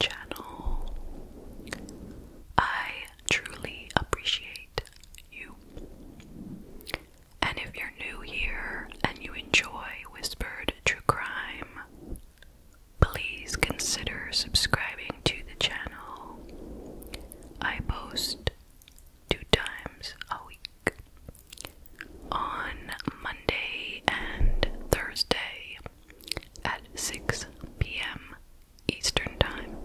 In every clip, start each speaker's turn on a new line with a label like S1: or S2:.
S1: channel. I truly appreciate you. And if you're new here and you enjoy Whispered True Crime, please consider subscribing to the channel. I post two times a week on Monday and Thursday at 6 p.m. Eastern Time.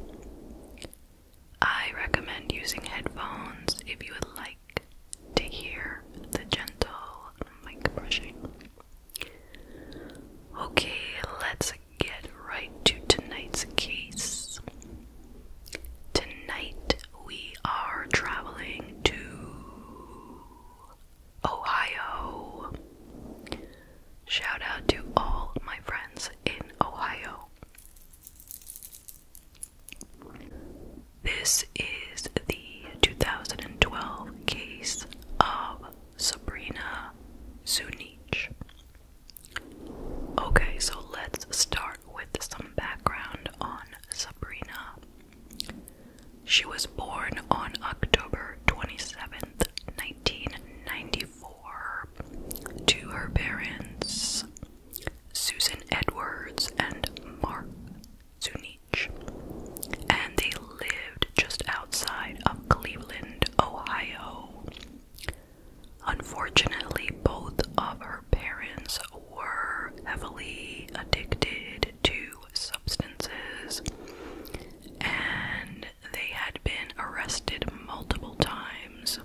S1: I recommend using headphones if you would like to hear the gentle mic brushing. Okay, let's get right to tonight's case. Tonight we are traveling to Ohio. Shout out to all my friends in Ohio. This is the 2012 case of Sabrina Zunich. Okay, so let's start with some background on Sabrina. She was born on October 27th, 1994, to her parents, Susan Edwards and Mark Zunich, and they lived just outside of Cleveland, Ohio. Unfortunately, both of her parents were heavily addicted to substances, and they had been arrested multiple times.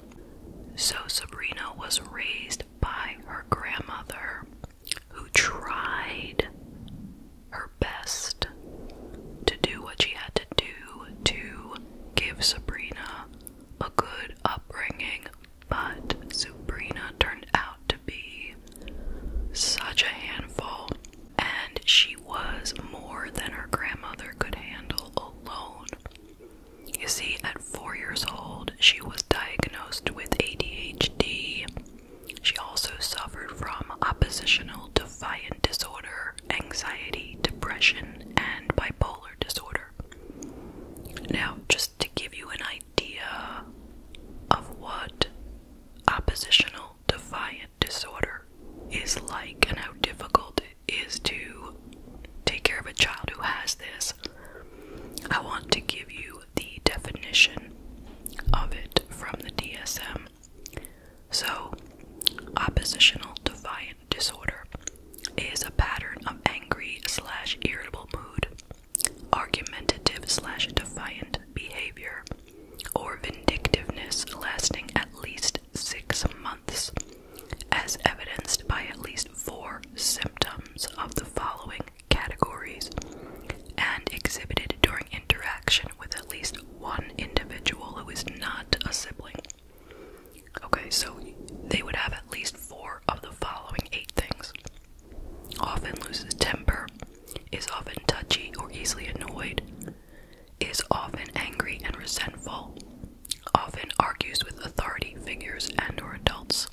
S1: So Sabrina was raised by her grandmother, who tried her best to do what she had to do to give Sabrina a good upbringing. But Sabrina turned out to be such a handful and she was more than her grandmother could handle alone. You see, at four years old, she was diagnosed with ADHD. She also suffered from oppositional defiant disorder, anxiety, depression, and bipolar disorder. Now, just to give you an idea of what oppositional defiant disorder is like and how difficult it is to take care of a child who has this. I want to give you the definition of it from the DSM. So, oppositional defiant disorder is a pattern of angry slash irritable mood, argumentative slash defiant behavior, or vindictiveness lasting at least six months, as evidenced by at least four symptoms of the following categories, and exhibited during interaction with at least one individual who is not a sibling. Okay, so they would have at least four of the following eight things often loses temper, is often touchy or easily annoyed, is often angry and resentful, often argues with authority figures and or adults,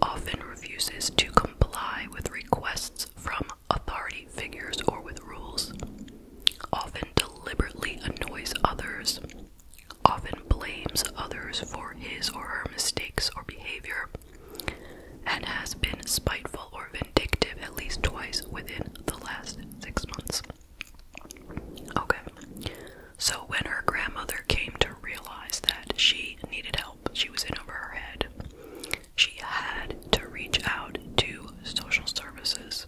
S1: often refuses to comply with requests from authority figures or with rules, often deliberately annoys others, often blames others for his or her mistakes or behavior, and has been spiteful or vindictive at least twice within the last six months. Okay, so when her grandmother came to realize that she needed help, she was in over her head, she had to reach out to social services.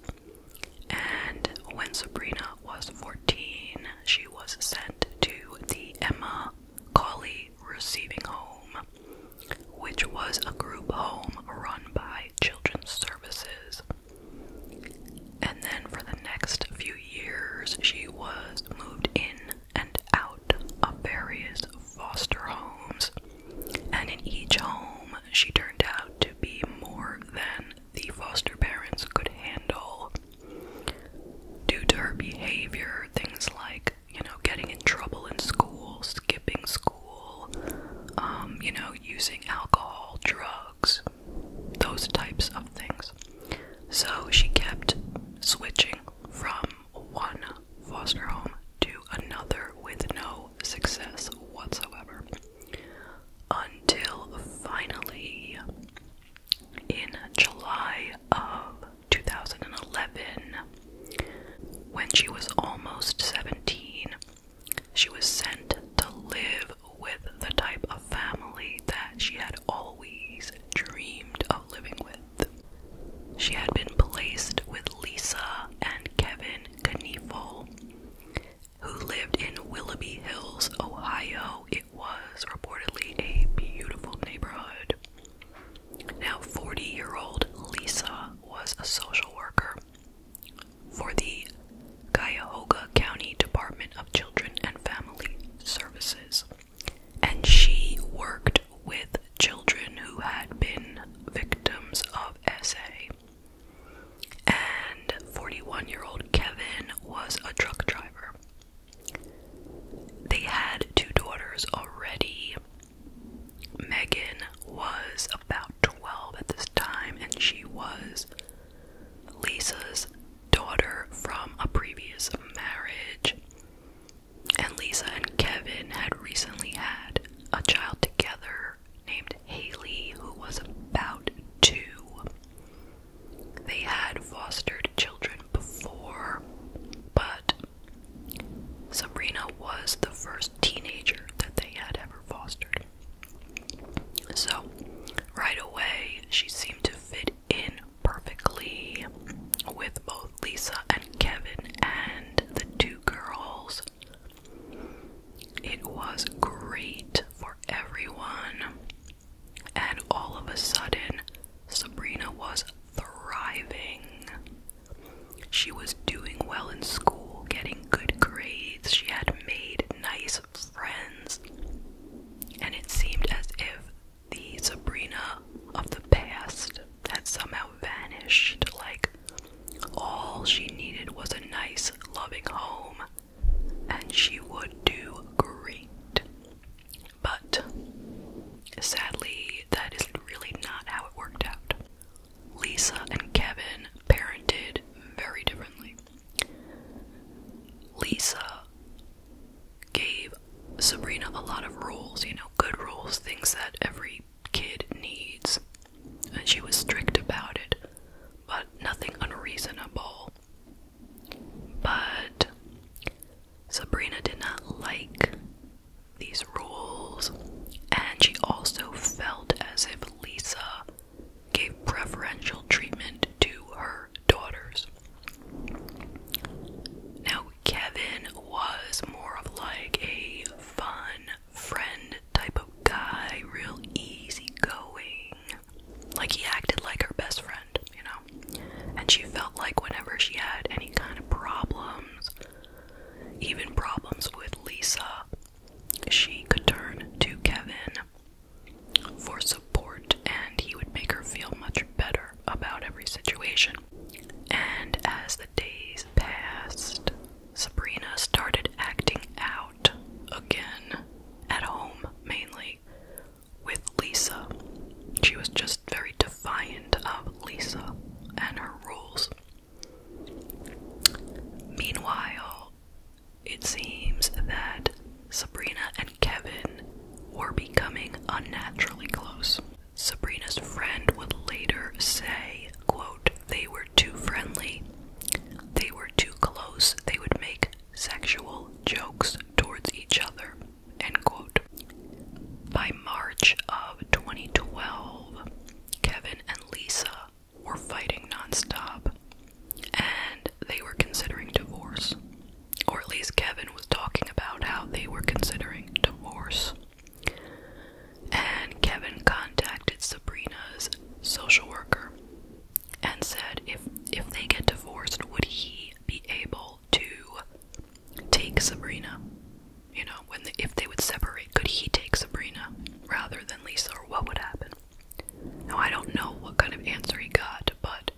S1: And when Sabrina was 14, she was sent to the Emma Collie Receiving Home, which was a group home run by Children's Services. And then for the next few years, she was moved in and out of various foster homes. And in each home, she turned out to be more than the foster parents could handle. Due to her behavior, things like you know, getting in trouble in school, skipping school, um, you know, using alcohol, drugs, those types of things. So she kept switching from one foster home to another with no success whatsoever. Until finally, in July of 2011, when she was almost 17, she was sent to live with the type of family that she had always dreamed of living with. She had been placed with Lisa and Kevin Knievel, who lived in Willoughby Hills, Ohio. It was reportedly a beautiful neighborhood. Now, 40 year old Lisa was a social worker for the Cuyahoga County Department of Children and Family Services, and she worked with children who had been victims of SA. And 41 year old Kevin was a truck driver. They had two daughters already, Megan was about 12 at this time, and she was Lisa's daughter from a previous marriage. And Lisa and Kevin had recently had a child together named Haley, who was about two. They had fostered children before, but Sabrina was the first teenager that they had ever fostered. So, right away, she seemed to fit in perfectly with both Lisa and Kevin and the two girls. It was great for everyone. And all of a sudden, Sabrina was thriving she was doing well in school, getting good grades, she had made nice friends, and it seemed as if the Sabrina of the past had somehow vanished. Like, all she needed was a nice, loving home, and she would do great. But sadly, that is really not how it worked out. Lisa and Kevin parented very differently. Lisa gave Sabrina a lot of rules, you know, good rules, things that every kid needs. And she was strict about it, but nothing unreasonable. But Sabrina did not like these rules, and she also felt as if Lisa gave preferential treatment to her daughters. Now, Kevin was more of like a fun friend type of guy, real easygoing. Like, he acted like her best friend, you know? And she felt like whenever she had any kind of problems, even problems with Lisa, she could turn to Kevin for support, and he would make her feel much better about every situation. And as the days passed, Sabrina started acting out again at home mainly with Lisa. She was just very defiant of Lisa and her rules. Meanwhile, it seems that Sabrina and Kevin were becoming unnaturally close. Sabrina's friend would later say, quote, they were too friendly, they were too close, they would make sexual jokes towards each other. By March of 2012, Kevin and Lisa were fighting nonstop, and they were considering divorce. Or at least Kevin was talking about how they were considering divorce. And Kevin contacted Sabrina's social worker and said if if they get divorced, would he be able to take Sabrina? You know, when if they would separate, could he take Sabrina rather than Lisa, or what would happen? Now, I don't know what kind of answer he got, but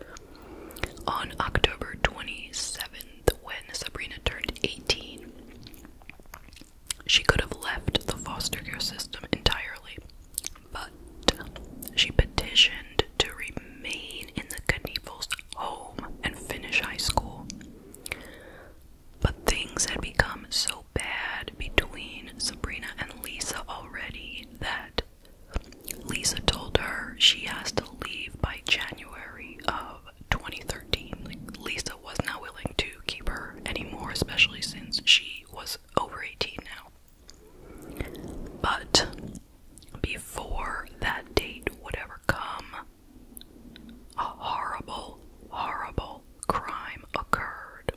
S1: on October 27th, when Sabrina turned 18, she could have left the foster care system entirely, but she petitioned to remain in the Knievel's home and finish high school. But things had become so bad between Sabrina and Lisa already that Lisa told her she has to leave by January of 2013. Lisa was not willing to keep her anymore, especially since she was over 18 now. But before that date would ever come, a horrible, horrible crime occurred.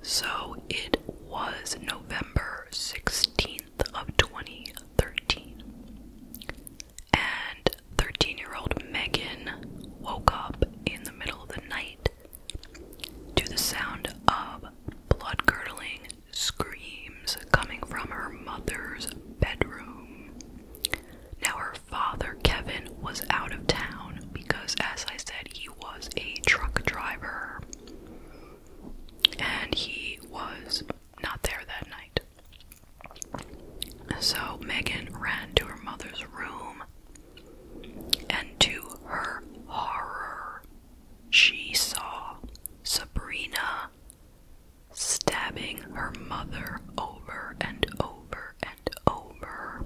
S1: So it was November 16th of 2013. And 13 year old Megan woke up in the middle of the night to the sound of blood curdling screams coming from her mother's bedroom. Now, her father, Kevin, was out of town because, as I said, he was a truck driver and he was not there that night. So, Megan ran to her mother's room, and to her horror, she saw Sabrina stabbing her mother over and over and over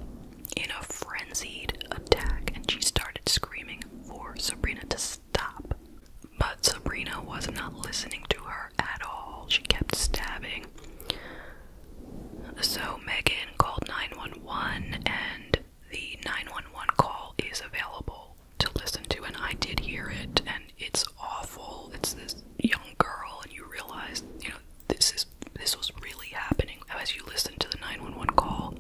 S1: in a frenzied attack, and she started screaming for Sabrina to stop. But Sabrina was not listening to her at all. She kept stabbing. So Megan called 911, and the 911 call is available to listen to, and I did hear it, and it's awful. It's this young girl, and you realize, you know, this is this was really happening. As you listen to the 911 call,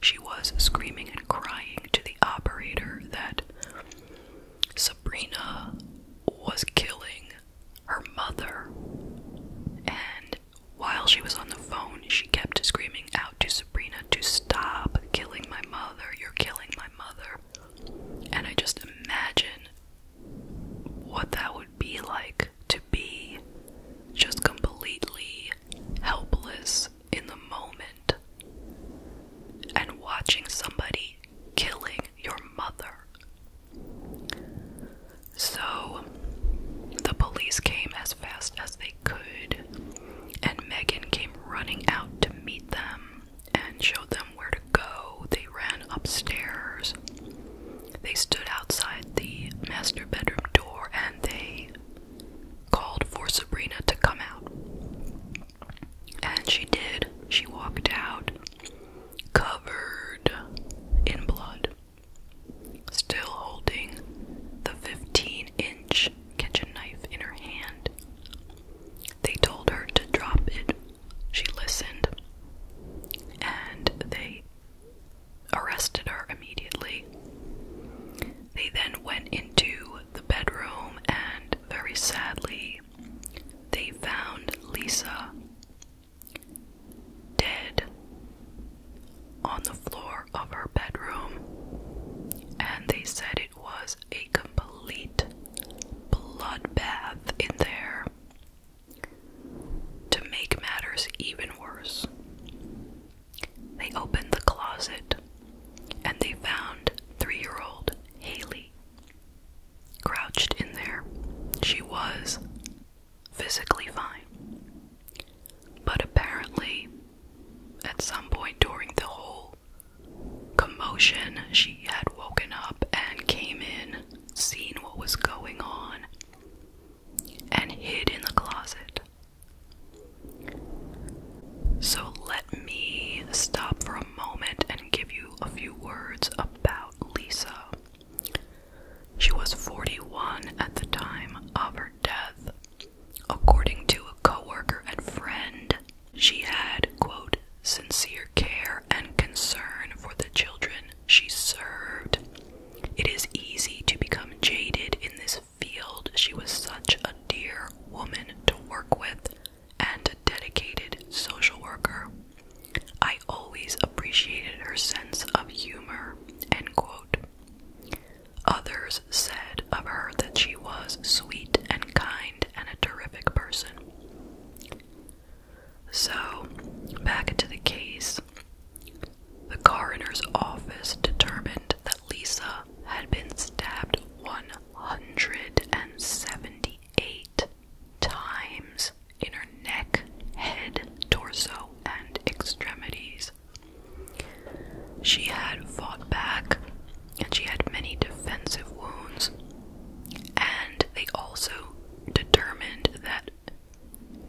S1: she was screaming and crying to the operator that Sabrina was killing her mother, and while she was on the phone, she kept screaming out to Sabrina to stop killing my mother. You're killing my mother. And I just imagine what that would be like to be just completely helpless in the moment and watching somebody killing your mother. So the police came as fast as they could, and Megan came running out to meet them and showed them where to go. They ran upstairs. They stood outside the master bedroom door and they called for Sabrina to come out. And she did. She walked out covered in blood, still holding the 15 inch kitchen knife in her hand. They told her to drop it. She listened, and they arrested her immediately. They then went into the bedroom, and very sadly, they found Lisa dead on the floor of her bedroom. And they said it was a complete bloodbath in there. To make matters even worse, they opened the closet and they found three year old Haley crouched in there. She was physically fine, but apparently, at some point during the whole commotion. She had woken up and came in, seen what was going on, and hid in the closet. So let me stop for a moment and give you a few words about Lisa. She was 41 at the time of her death. According to a coworker and friend, she had, quote, sincere care and concern for the children she served. It is easy to become jaded in this field. She was such a dear woman to work with and a dedicated social worker. I always appreciated her sense of humor, end quote. Others said of her that she she was sweet and kind and a terrific person. So, back into the case. The coroner's office determined that Lisa had been stabbed 178 times in her neck, head, torso, and extremities. She had fought back and she had many defensive wounds. And they also determined that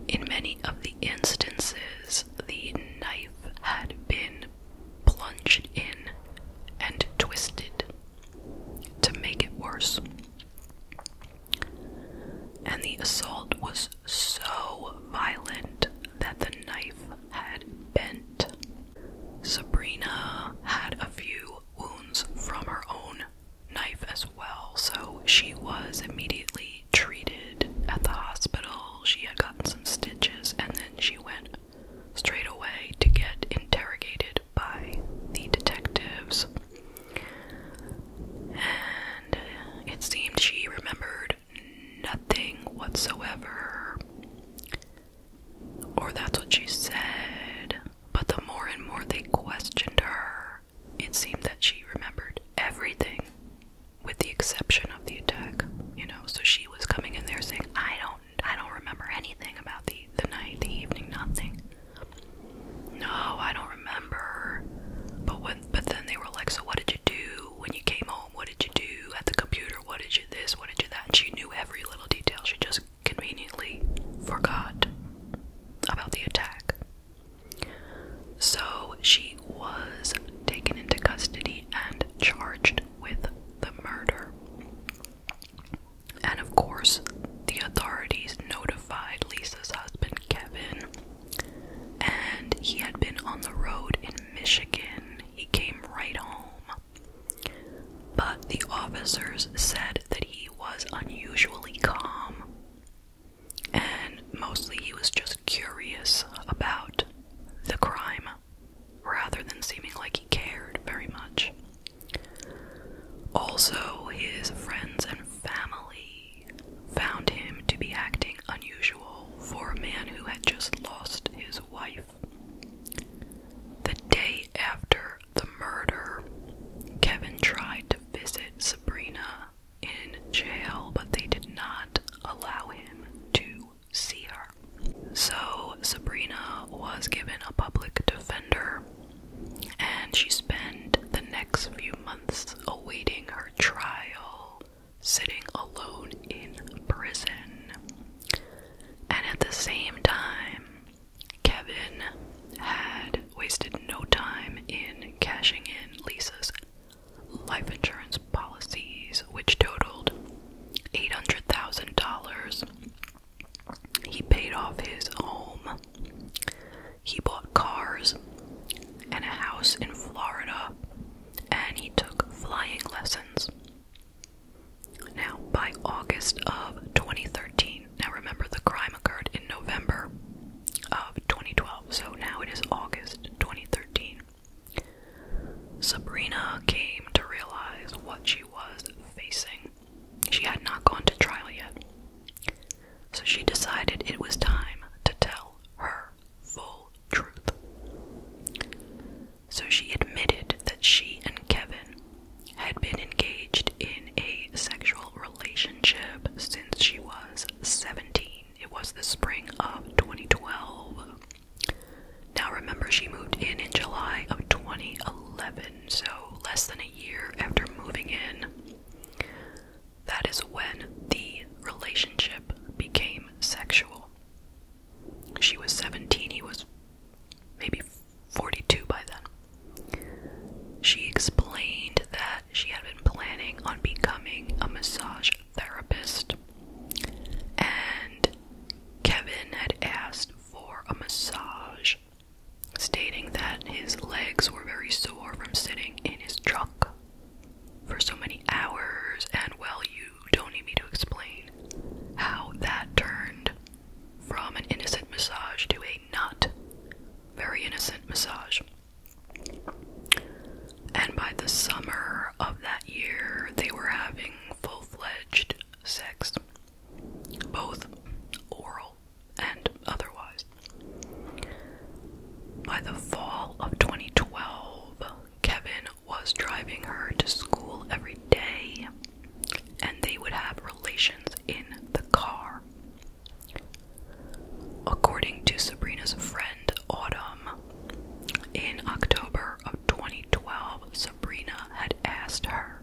S1: in many of the instances, the knife had been plunged in and twisted to make it worse. And the assault was so violent that the knife had bent Sabrina had a few wounds from her own knife as well, so she was immediately treated at the hospital. She had gotten some stitches and then she went straight away to get interrogated by the detectives. And it seemed she remembered nothing whatsoever. Or that's what she said. But the more and more they questioned her, it seemed that she remembered everything with the exception of the attack, you know. So she was coming in there saying, "I don't I don't remember anything about the the night, the evening, nothing." No, I don't remember. But but then they were like, "So what did you do when you came home? What did you do at the computer?" what did you this, what did you that. She knew every little detail. She just conveniently forgot about the attack. So she was taken into custody and charged with the murder. And of course, the authorities notified Lisa's husband, Kevin, and he had been on the road in Michigan. He came right home but the officers said that he was unusually calm and mostly he was just curious about the crime rather than seeming like he cared very much. Also, his friends and family found him to be acting unusual for a man who had just lost his wife. The day after the murder, Kevin tried to visit Sabrina in jail, but they did not allow him to see her. So, Sabrina was given a public defender, and she spent the next few months awaiting her trial, sitting alone in prison. And at the same time, Kevin had wasted no time in cashing in Lisa's life insurance policies, which totaled $800,000. He paid off his home, he bought cars and a house in Florida, and he took flying lessons. Now, by August of 2013, now remember the crime occurred in November of 2012, so now it is August 2013. Sabrina came to realize what she was facing. She had not gone to trial yet. So she decided it was time to tell her full truth so she admitted that she and Kevin had been engaged in a sexual relationship since she was 17. It was the spring of 2012. Now, remember, she moved in in July of 2011, so less than a year after moving in. That is when the relationship became sexual. She was 17, he was maybe 42 by then. She explained that she had been planning on becoming a massage therapist, and Kevin had asked for a massage, stating that his legs were very sore from sitting in his truck for so many hours, and well, you don't need me to explain how that turned from an innocent massage to a not very innocent massage. And by the summer of that year, they were having full fledged sex, both oral and otherwise. By the fall of 2012, Kevin was driving her to school every day, and they would have relations in the car. According to Sabrina's friend Autumn, in October of 2012, Sabrina had asked her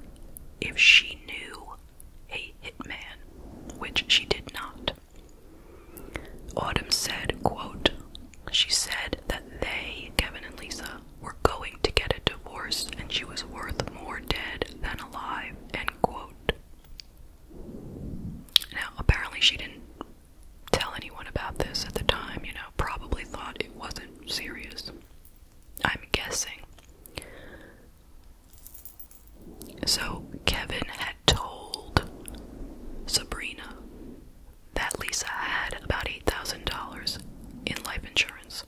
S1: if she knew a hitman, which she did not. Autumn said, quote, she said that they, Kevin and Lisa, we're going to get a divorce and she was worth more dead than alive, Now, apparently she didn't tell anyone about this at the time, you know, probably thought it wasn't serious. I'm guessing. So, Kevin had told Sabrina that Lisa had about $8,000 in life insurance,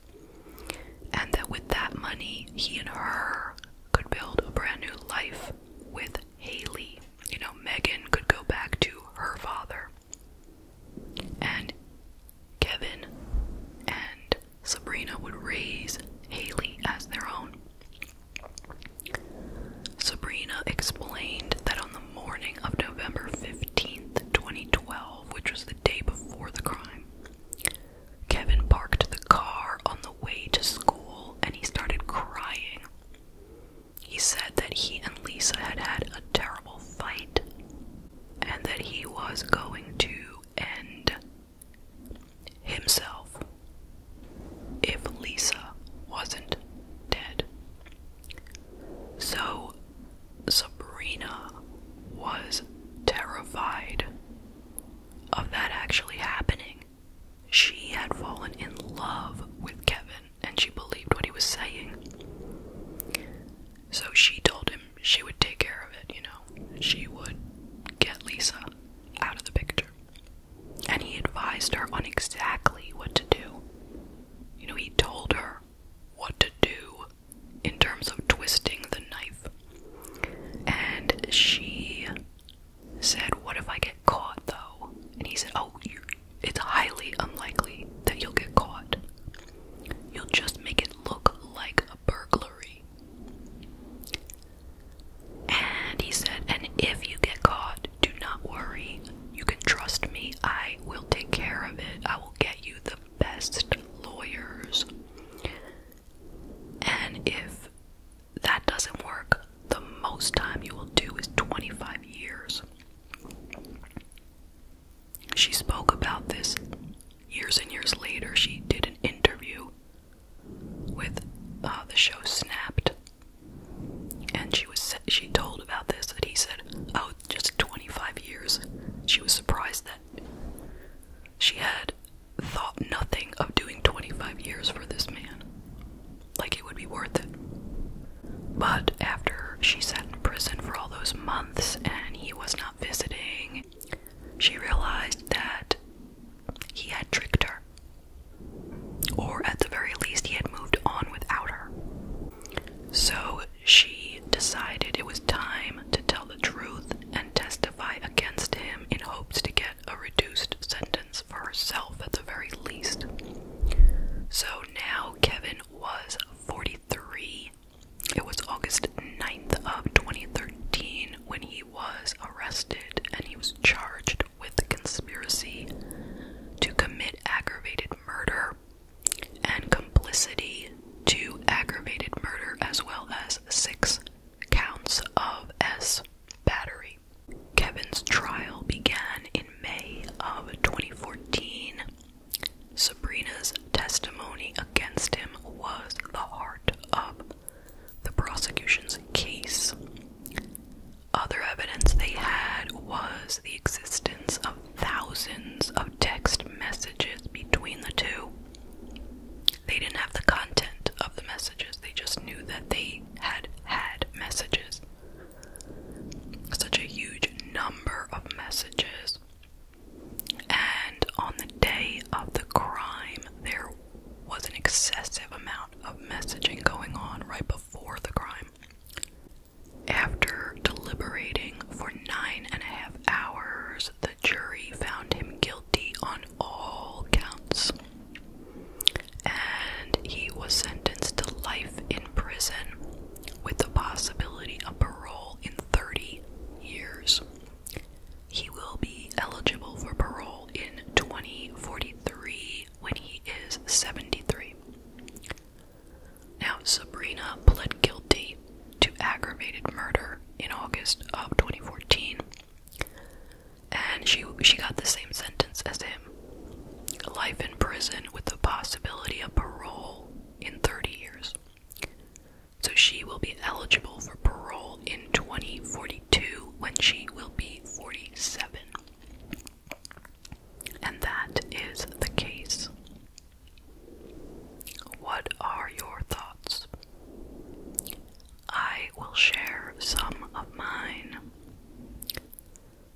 S1: and that with that money, he and her could build a brand new life with Haley. You know, Megan could go back to her father, and Kevin and Sabrina would raise Haley as their own. Sabrina explained that on the morning of November 15, 18th, 2012, which was the day before the crime. Kevin parked the car on the way to school and he started crying. He said that he and Lisa had had a terrible fight and that he was going to end himself if Lisa wasn't dead. So Sabrina was terrified of that actually happening. She had fallen in love with Kevin and she believed what he was saying. So she told him she would take care of it, you know. She would get Lisa out of the picture. And he advised her on exactly what to do. You know, he told her what to do in terms of twisting the knife. And she said, What if I get caught though? And he said, Oh, it's highly unlikely that you'll get caught. You'll just make it look like a burglary. And he said, And if you get caught, do not worry. You can trust me. I will take care of it. I will get you the best lawyers. And if that doesn't work, the most time you will do is 25 years. She spoke about this years and years later. She did an interview with uh, the show Snapped, and she was she told about this that he said, "Oh, just 25 years, she was surprised that she had thought nothing of doing 25 years for this man. Like it would be worth it. But after she sat in prison for all those months and he was not visiting, she realized that he had tricked her. Or at the very least, he had moved on without her. So she decided it was time to tell the truth and testify against him in hopes to get a reduced sentence for herself at the very least. So now Kevin was 43. It was August 9th of 2013 when he was arrested and he was charged with conspiracy to commit aggravated murder and complicity to aggravated murder, as well as six counts of S battery. Kevin's trial began in May of 2014. Sabrina's testimony against him was the heart of the prosecution's case. Other evidence they had was the existence of thousands of text messages between the two. They didn't have the content of the messages, they just knew that they had had messages. Such a huge number of messages. And on the day of the crime, there was an excessive amount of messaging going on right before the crime. After deliberating for nine and a half hours, the jury found him guilty on all counts. And he was sentenced to life in prison with the possibility of parole in 30 years. He will be eligible for parole in 2043 when he is 73. Now, Sabrina pled guilty to aggravated murder in August of 2014, and she she got the same sentence as him: life in prison with the possibility of parole in 30 years. So she will be eligible for parole in 2042 when she will be 47. And that is the case. What are your thoughts? I will share some of mine.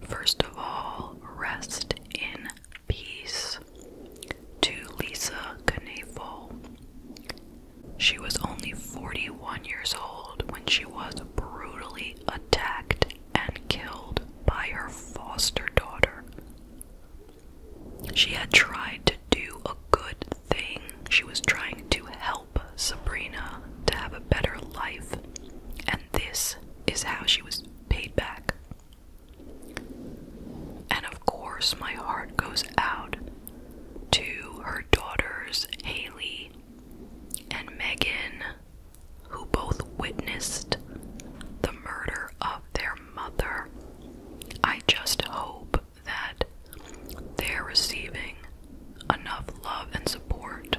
S1: First of all, rest in peace. To Lisa Knievel. She was only 41 years old when she was brutally attacked and killed by her foster daughter, she had tried to do a good thing. She was trying to help Sabrina to have a better life, and this is how she was paid back. And of course, my heart goes out to her daughters, Haley and Megan, who both witnessed the murder of their mother. I just hope that they're receiving enough love and support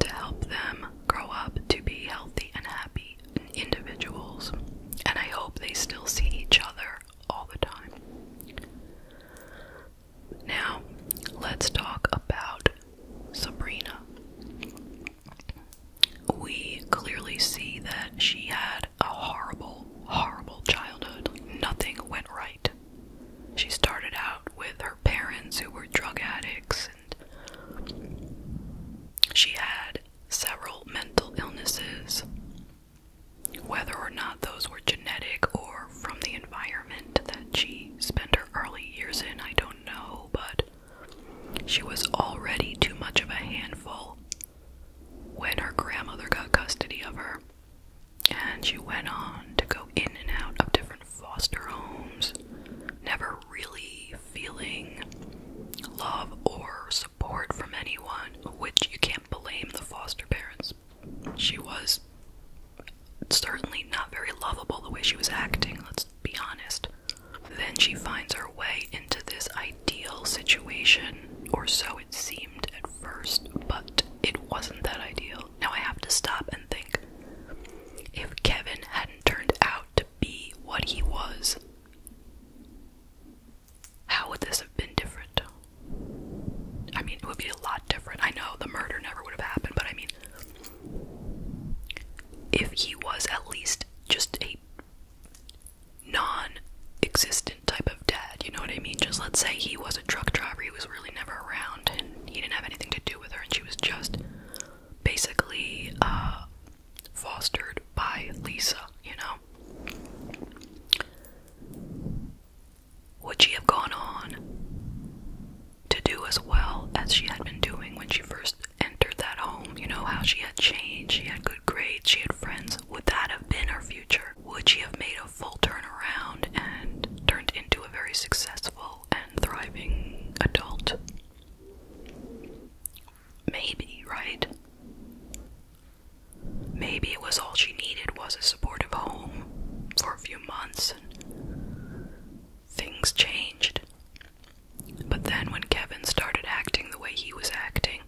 S1: to help them grow up to be healthy and happy individuals. And I hope they still see each other all the time. Now, let's talk about Sabrina we clearly see that she had a horrible, horrible childhood. Nothing went right. She started out with her parents who were drug addicts, and she had several mental illnesses. Whether or not those were genetic or from the environment that she spent her early years in, I don't know, but she was already too much of a handful when her grandmother got custody of her, and she went on to go in and out of different foster homes, never really feeling love or support from anyone, which you can't blame the foster parents. She was certainly not very lovable the way she was acting, let's be honest. Then she finds her way into this ideal situation, or so it seemed at first, but it wasn't that ideal. Now I have to stop and think. If Kevin hadn't turned out to be what he was, how would this have been different? I mean, it would be a lot different. I know the murder never would have happened, but I mean, if he was at least just a non-existent type of dad, you know what I mean? Just let's say he was a truck driver, he was really never around and he didn't have anything to do with her and she was just basically uh, fostered by Lisa, you know. Would she have gone on to do as well as she had been doing when she first entered that home, you know, how she had changed, she had good grades, she had friends, would that have been her future? Would she have made a full turn around and turned into a very successful and thriving adult? Maybe, right? Maybe it was all she needed was a supportive home for a few months things changed. But then when Kevin started acting the way he was acting,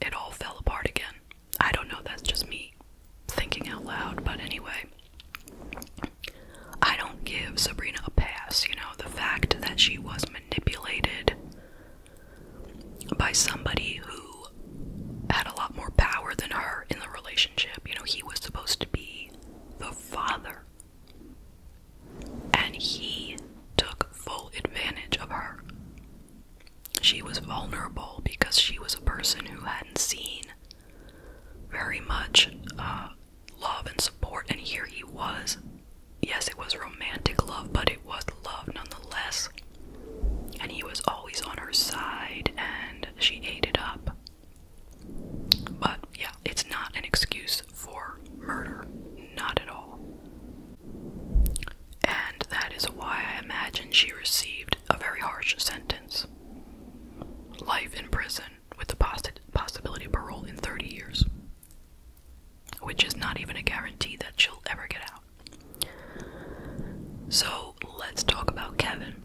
S1: it all fell apart again. I don't know, that's just me thinking out loud, but anyway. I don't give Sabrina a pass, you know, the fact that she was manipulated by somebody who had a lot more power than her in the relationship. You know, he was supposed to be the father and he took full advantage of her. She was vulnerable because she was a person who hadn't seen very much uh, love and support, and here he was. Yes, it was romantic love, but it was love nonetheless. And he was always on her side, and she ate it up. But yeah, it's not an excuse for murder. Not at all. And that is why I imagine she received a very harsh sentence life in prison with the possibility of parole in 30 years, which is not even a guarantee that she'll ever get out. So let's talk about Kevin.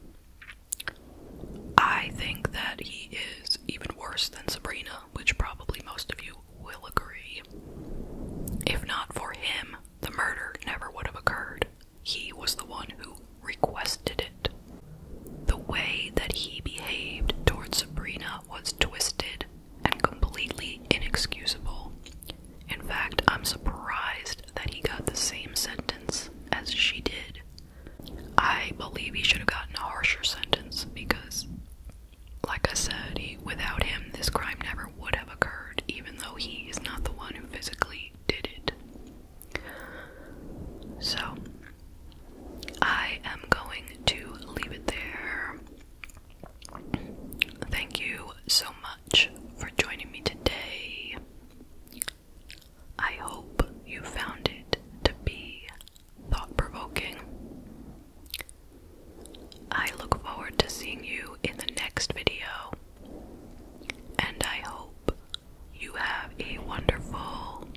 S1: I think that he is even worse than Sabrina, which probably most of you will agree. If not for him, the murder never would have occurred. He was the one who requested it. The way that he behaved towards Sabrina was twisted and completely inexcusable. In fact, I'm surprised that he got the same sentence as she did. I believe he should have gotten a harsher sentence because, like I said, without him, this crime never would have occurred, even though he is not the one who physically did it. So, I am going to leave it there. Thank you so much for joining me today. I hope you found it to be thought provoking. I look forward to seeing you in the next video, and I hope you have a wonderful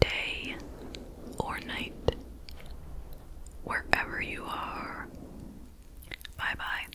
S1: day or night wherever you are. Bye bye.